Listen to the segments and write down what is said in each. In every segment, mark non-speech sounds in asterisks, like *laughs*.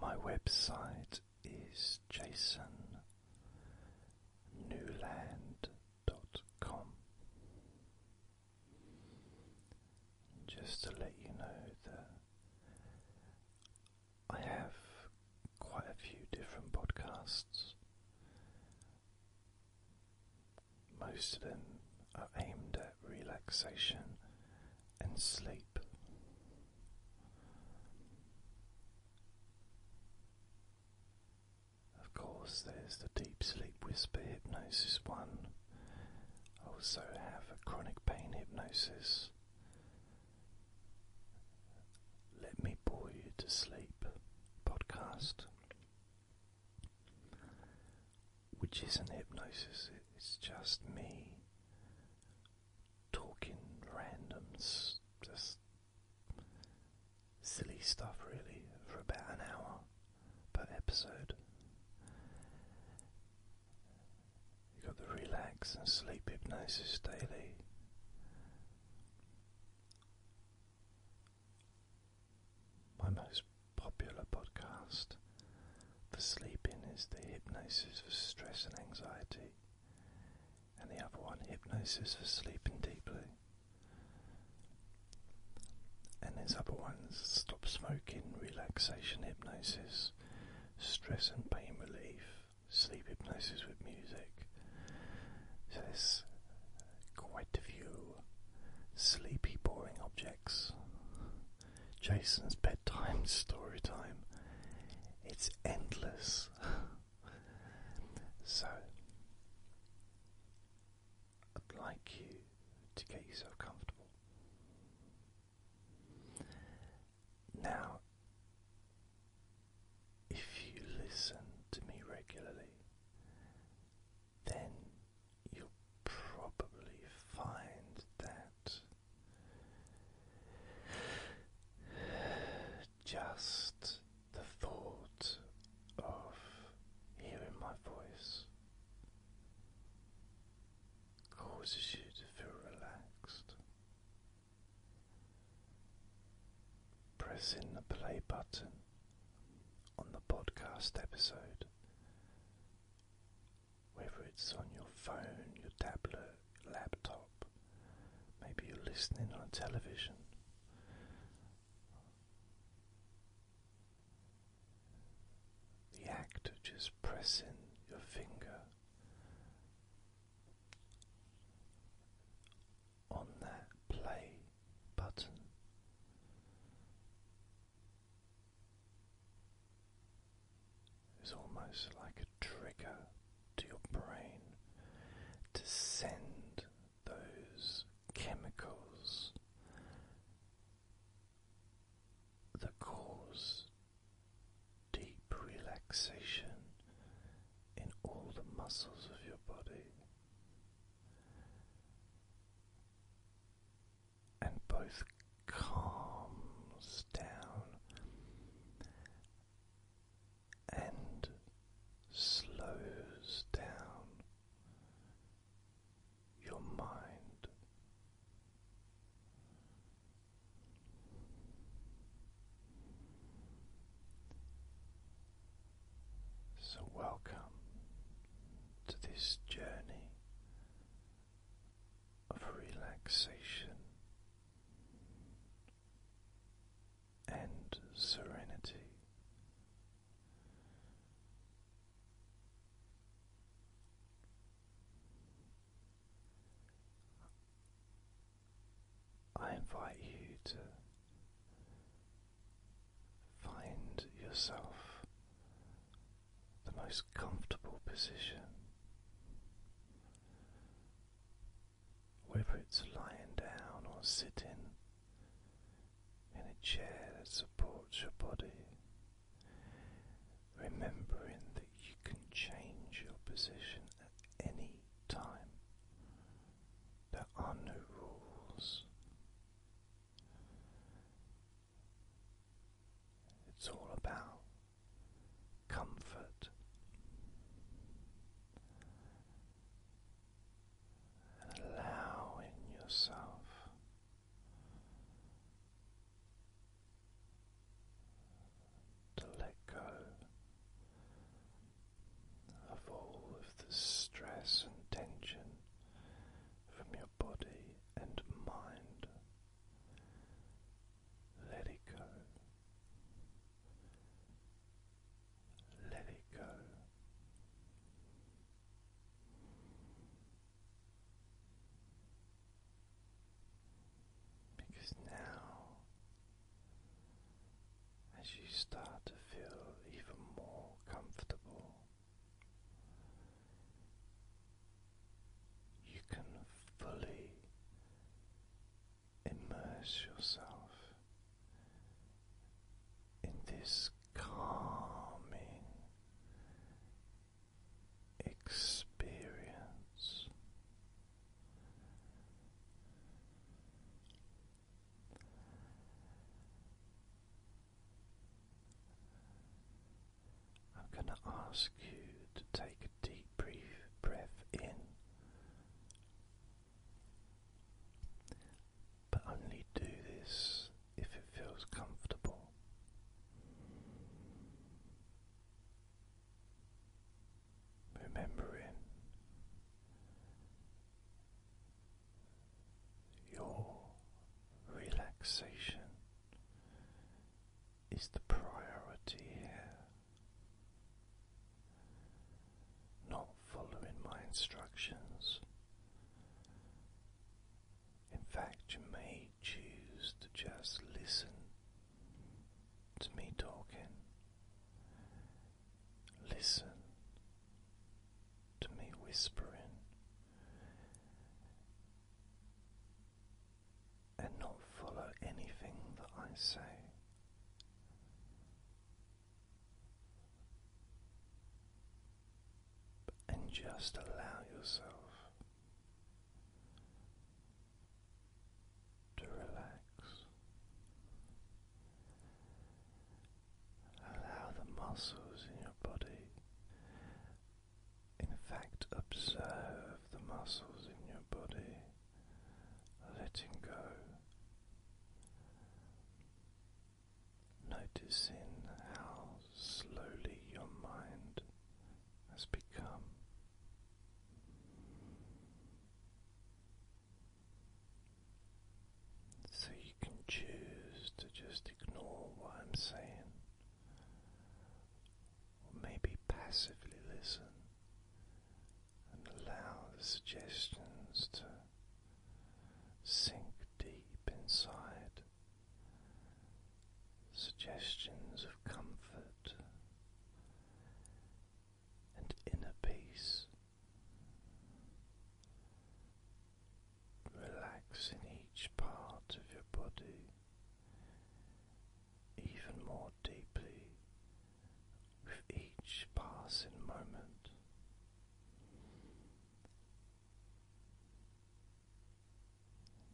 My website is jasonnewland.com. Just to let you know that I have quite a few different podcasts. Most of them are aimed at relaxation and sleep. Of course, there's the deep sleep whisper hypnosis one. I also have a chronic pain hypnosis. Let me bore you to sleep podcast which isn't hypnosis, it's just me talking random, just silly stuff really, for about an hour per episode. You've got the relax and sleep hypnosis daily. My most popular podcast for sleeping is the Hypnosis for Stress and Anxiety, and the other one, Hypnosis for Sleeping Deeply. And there's other ones Stop Smoking, Relaxation Hypnosis, Stress and Pain Relief, Sleep Hypnosis with Music. So there's quite a few sleepy, boring objects Jason's bedtime story time. It's endless. *laughs* so, I'd like you to get yourself comfortable. Now, if you listen to me regularly, then you'll probably find that just the thought of hearing my voice causes you to feel relaxed. Pressing the play button on the podcast episode whether it's on your phone, your tablet, laptop, maybe you're listening on television. The act of just pressing your finger on that play button it's almost like a trigger to your brain to send those chemicals that cause deep relaxation in all the muscles of your body and both calms down and slows down your mind. So, welcome to this journey of relaxation and serenity. I invite you to find yourself the most comfortable position, whether it's lying down or sitting in a chair that supports your body, remembering that you can change your position at any time. There are no rules. It's all about comfort and allowing yourself to let go of all of the stress and tension from your body and mind. Let it go. Let it go. Because now, as you start to feel even more comfortable you can fully immerse yourself in this calming experience. I'm going to ask you to take a deep brief breath in, but only do this if it feels comfortable. Remembering your relaxation is the priority here. Not following my instructions. In fact, you may choose to just listen to me talking. Listen to me whispering and not follow anything that I say. And just allow yourself to relax Allow the muscles in your body. In fact, observe the muscles in your body, letting go. Noticing how slowly your mind has become. So you can choose to just ignore what I'm saying, or maybe passively listen and allow the suggestions to sink deep inside. Suggestions of comfort and inner peace relaxing each part of your body even more deeply with each passing moment.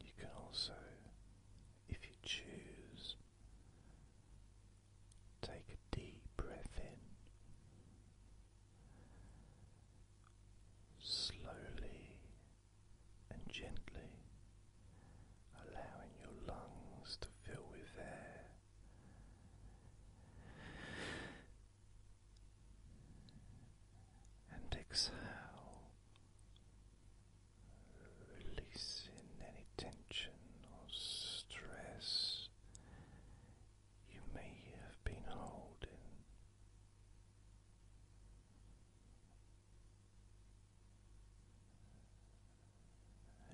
You can also, if you choose, take a deep breath in Slowly and gently allowing your lungs to fill with air. And exhale, releasing any tension or stress you may have been holding.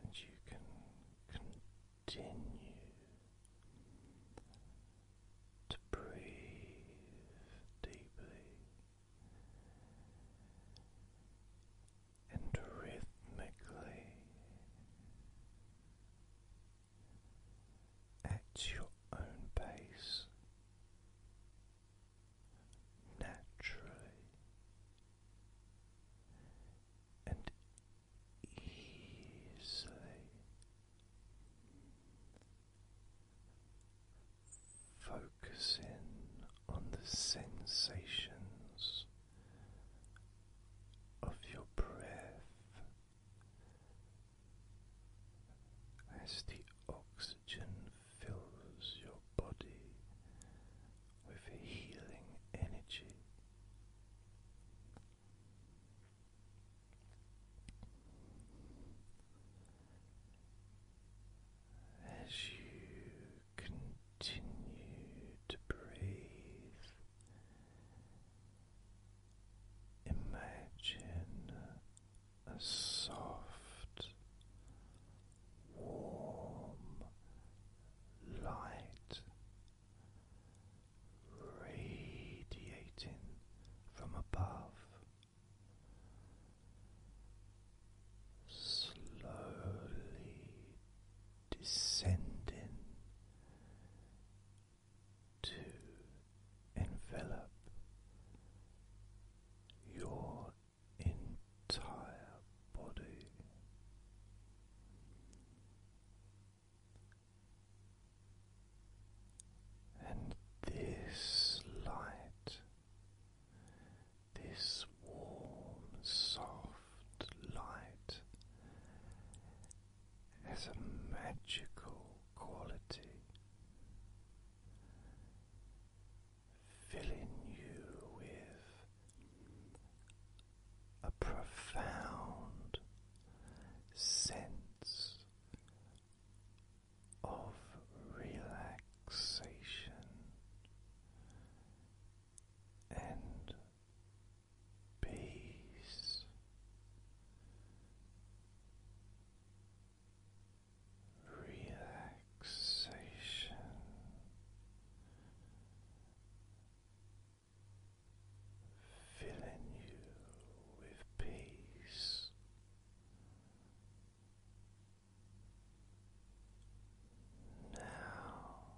And you can continue to breathe deeply and rhythmically at your own pace, naturally and easily. Focus on the sensations of your breath as the oxygen fills your body with healing energy. As you continue to breathe Imagine a soft, warm light radiating from above, slowly descending to envelop your entire body. And this light, this warm, soft light, has a magical quality, filling you with a profound sense of relaxation and peace, relaxation. Filling you with peace, now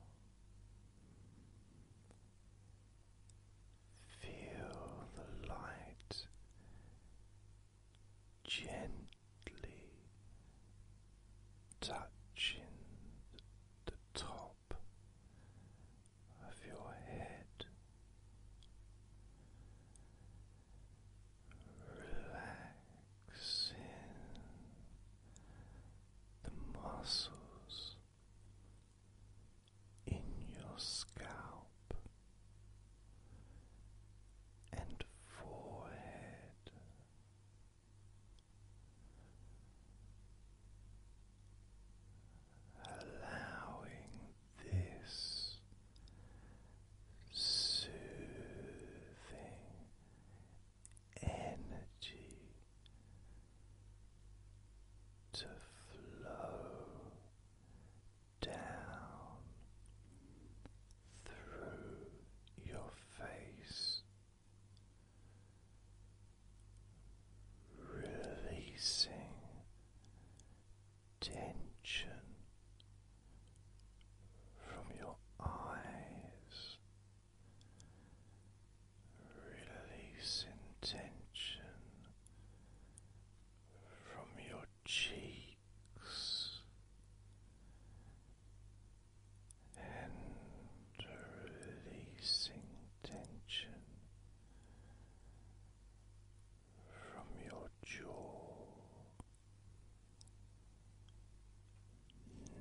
Feel the light gently touching the top of your head. Relaxing the muscles in your scalp and forehead. Allowing this soothing energy to flow down through your face, releasing tension from your eyes. Release tension from your cheeks and releasing tension from your jaw.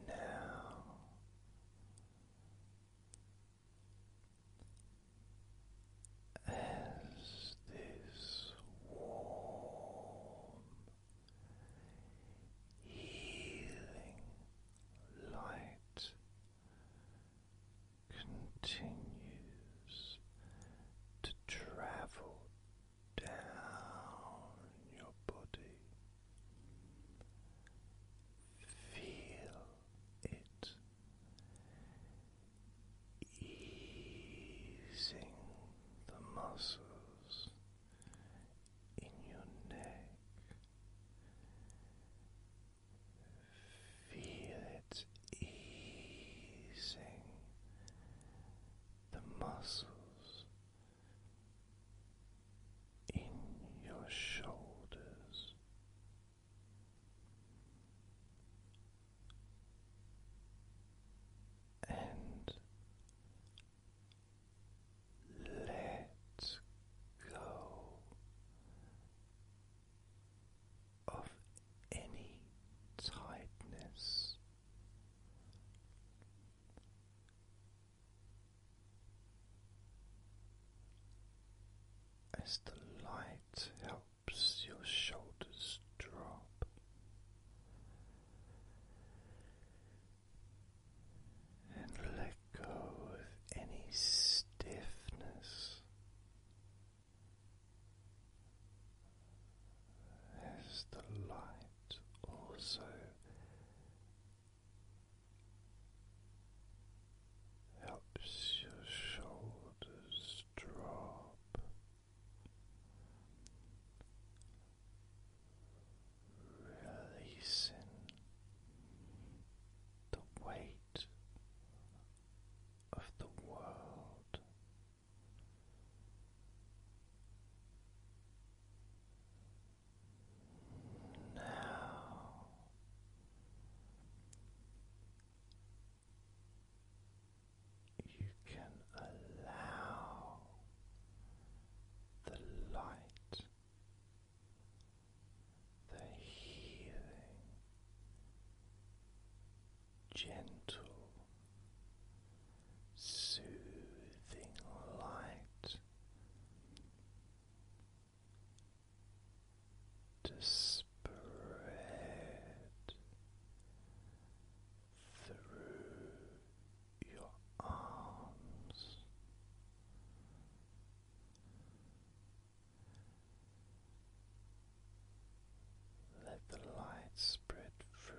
Now as this warm healing light continues to travel down your body Feel it easing the muscles in your neck. Feel it easing the muscles in your shoulders. And let go of any tightness as the light helps your shoulders drop. And let go of any stiffness as the light also helps your shoulders drop, releasing the weight of the world. Now you can allow the light, the healing, gentle, soothing light to spread through your arms. Let the light spread through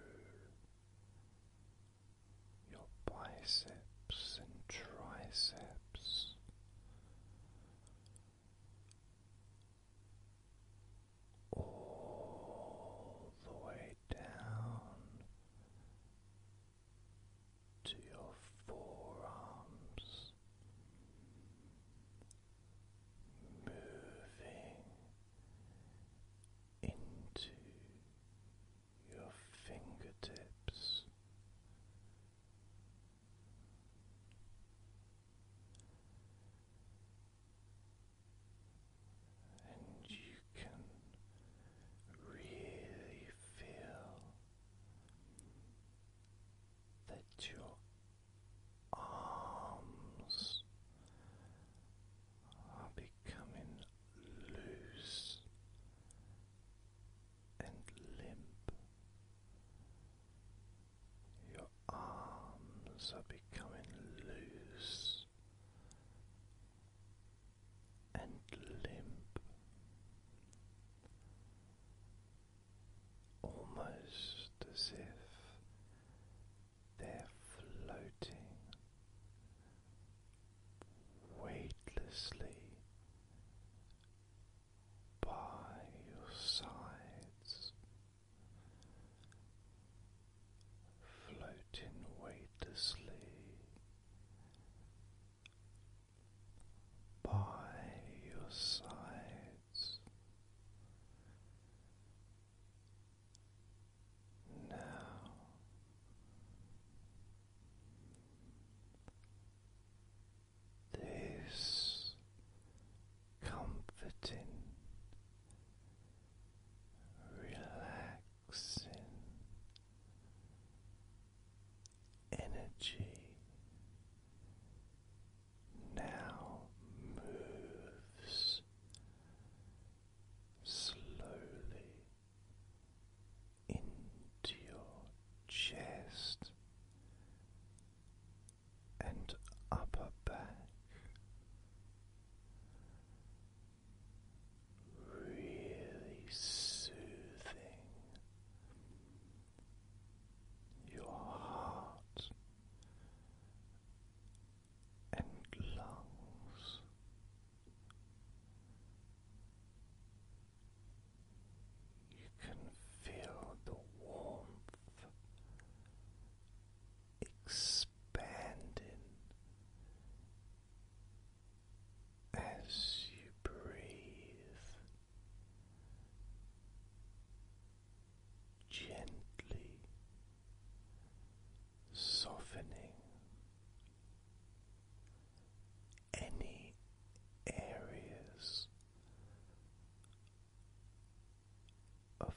your biceps and triceps. All the way down to your forearms, moving into your fingertips. And you can really feel that your arms are becoming loose and limp. Your arms are becoming loose and limp. Almost as if they're floating weightlessly by your sides, floating weightlessly by your sides. Now this comforting, relaxing energy now moves slowly into your chest and upper back. Really soothing your heart and lungs you can feel the warmth expanding as you breathe gently softening any areas of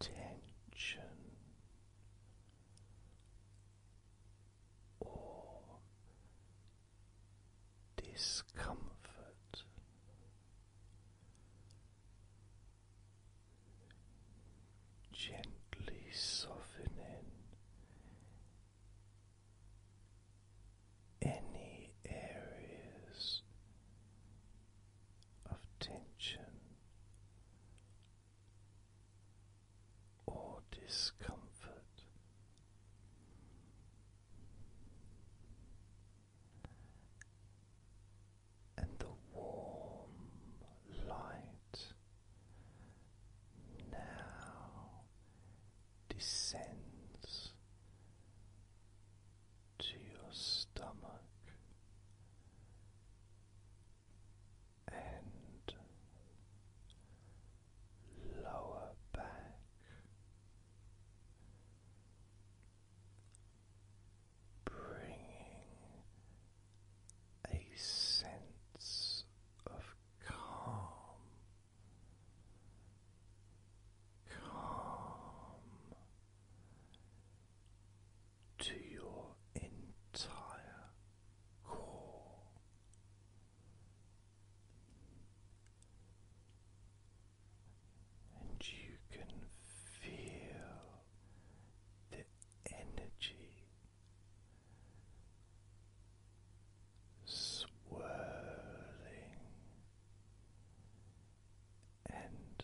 tension or discomfort gently softening any areas of tension or discomfort. And the warm light now descends to your stomach and lower back. Bringing a sense of calm, calm to your entire core. And you can feel the energy swirling and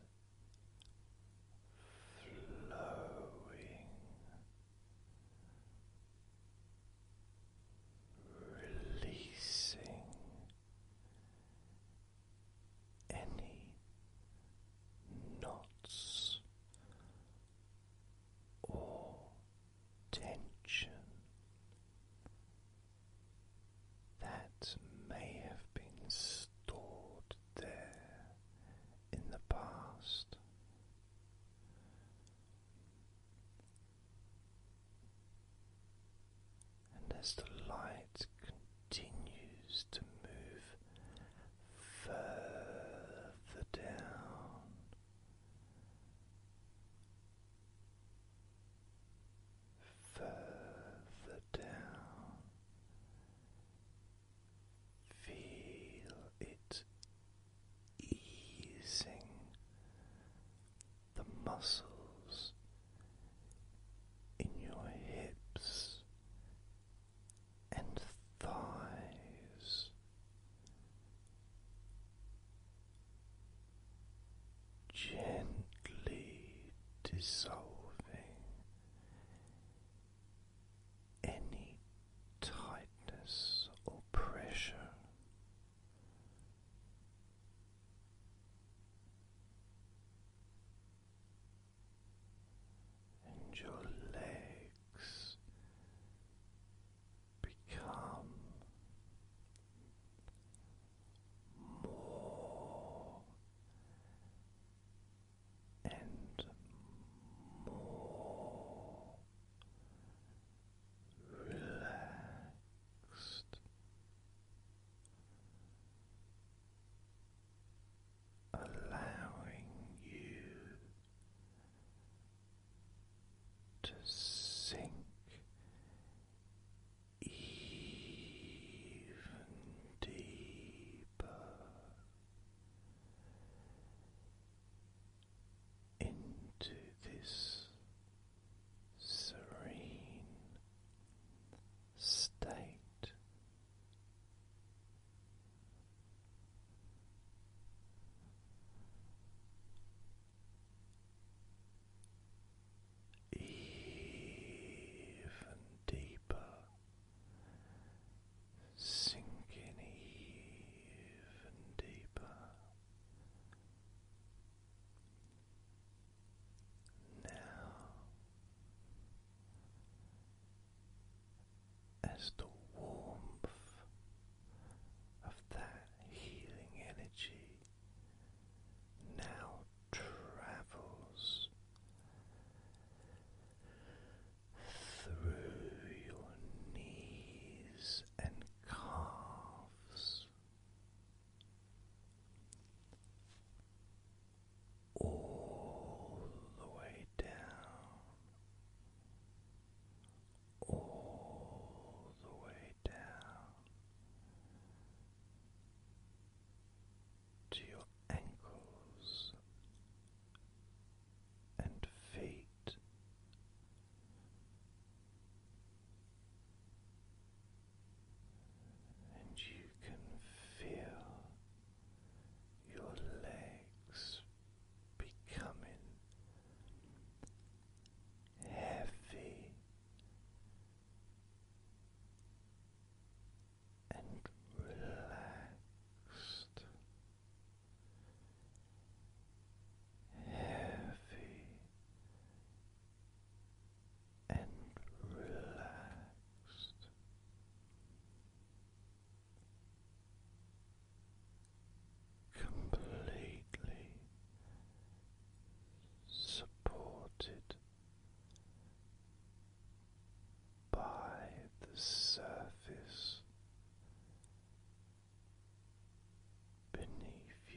flowing, releasing any knots or tension that may have been stored there in the past. And as the light continues to move further down. Further down, feel it easing the muscles in your hips and thighs. Gently dissolving any tightness or pressure and your legs become more and more relaxed allowing you to sink even deeper into this serene state. Even deeper, sinking even deeper. Now as the warmth of that healing energy now travels through your knees and calves all the way down, all the way down to your ankles and feet. And you can feel your legs becoming heavy and relaxed, heavy and relaxed completely supported by the surface beneath you.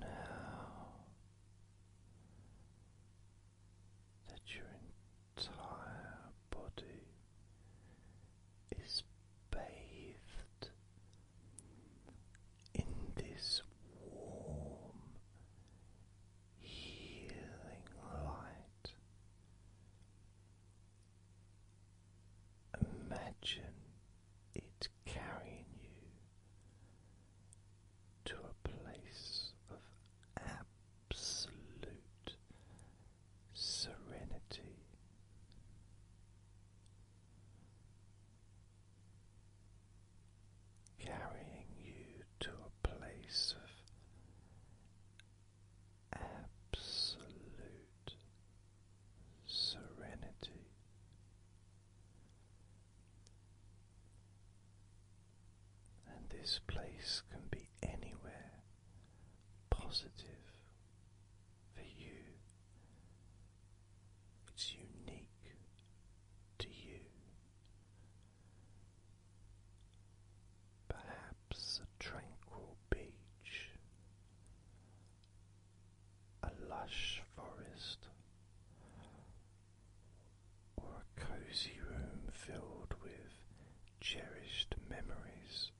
Now that your entire body is bathed in this warm, healing light. Imagine it carrying you to a place of absolute serenity. Carrying you to a place of absolute serenity. And this place can be anywhere positive for you. It's unique to you. Perhaps a tranquil beach, a lush forest, or a cozy room filled with cherished memories.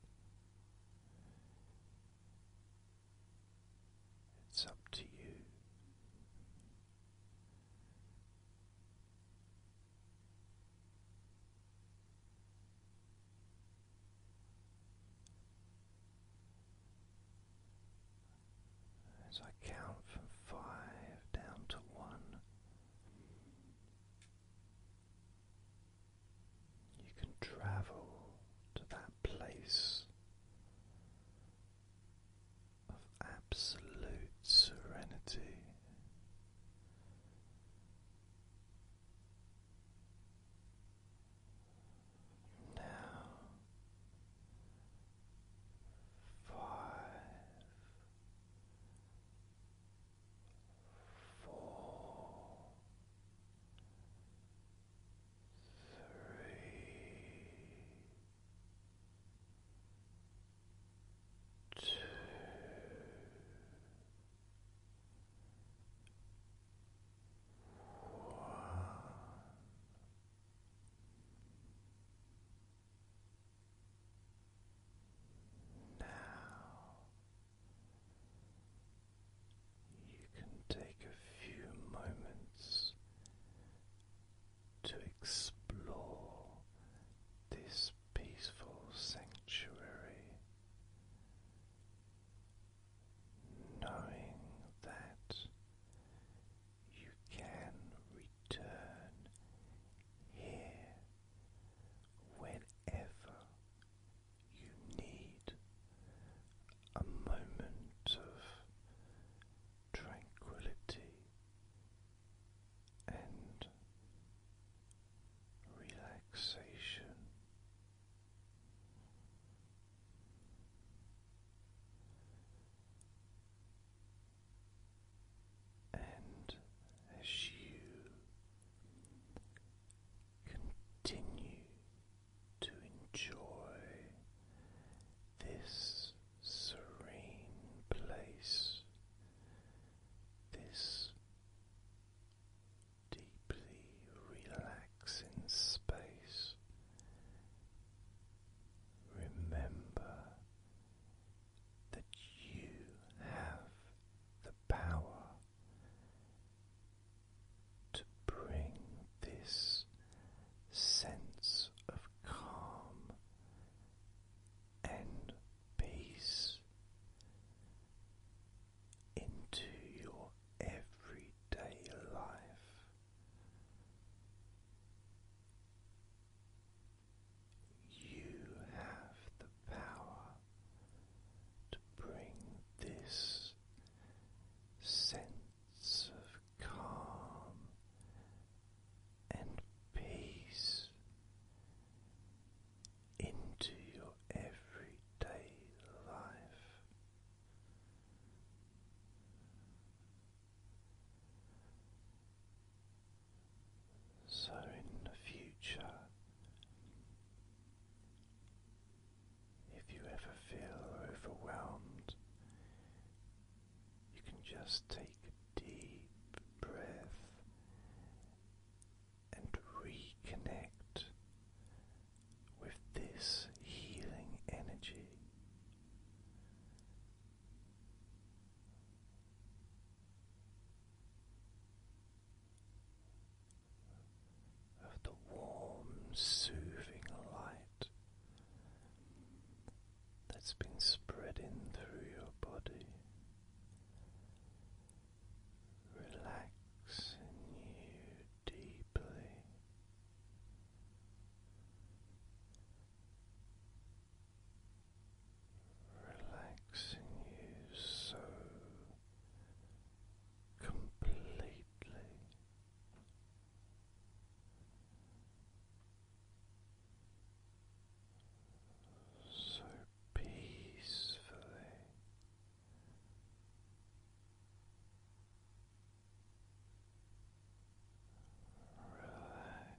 It's up to you. As I count from five down to one, you can travel to that place of absolute serenity. Now five, four, three, two. Now you can take a few moments to explore this peaceful sanctuary, knowing that you can return here whenever you need a moment of tranquility and relaxation. And as you continue to enjoy this serene place, this deeply relaxing space. Remember that you have the power to bring this sense of calm and peace into your everyday life. You have the power to bring this sense of calm and peace into your everyday life. So, in the future, if you ever feel overwhelmed, you can just take a deep breath and reconnect with this healing energy. Of the warm, soothing light that's been spreading through your body, relaxing you deeply. Relaxing you so completely, so peacefully. Relax. Relax.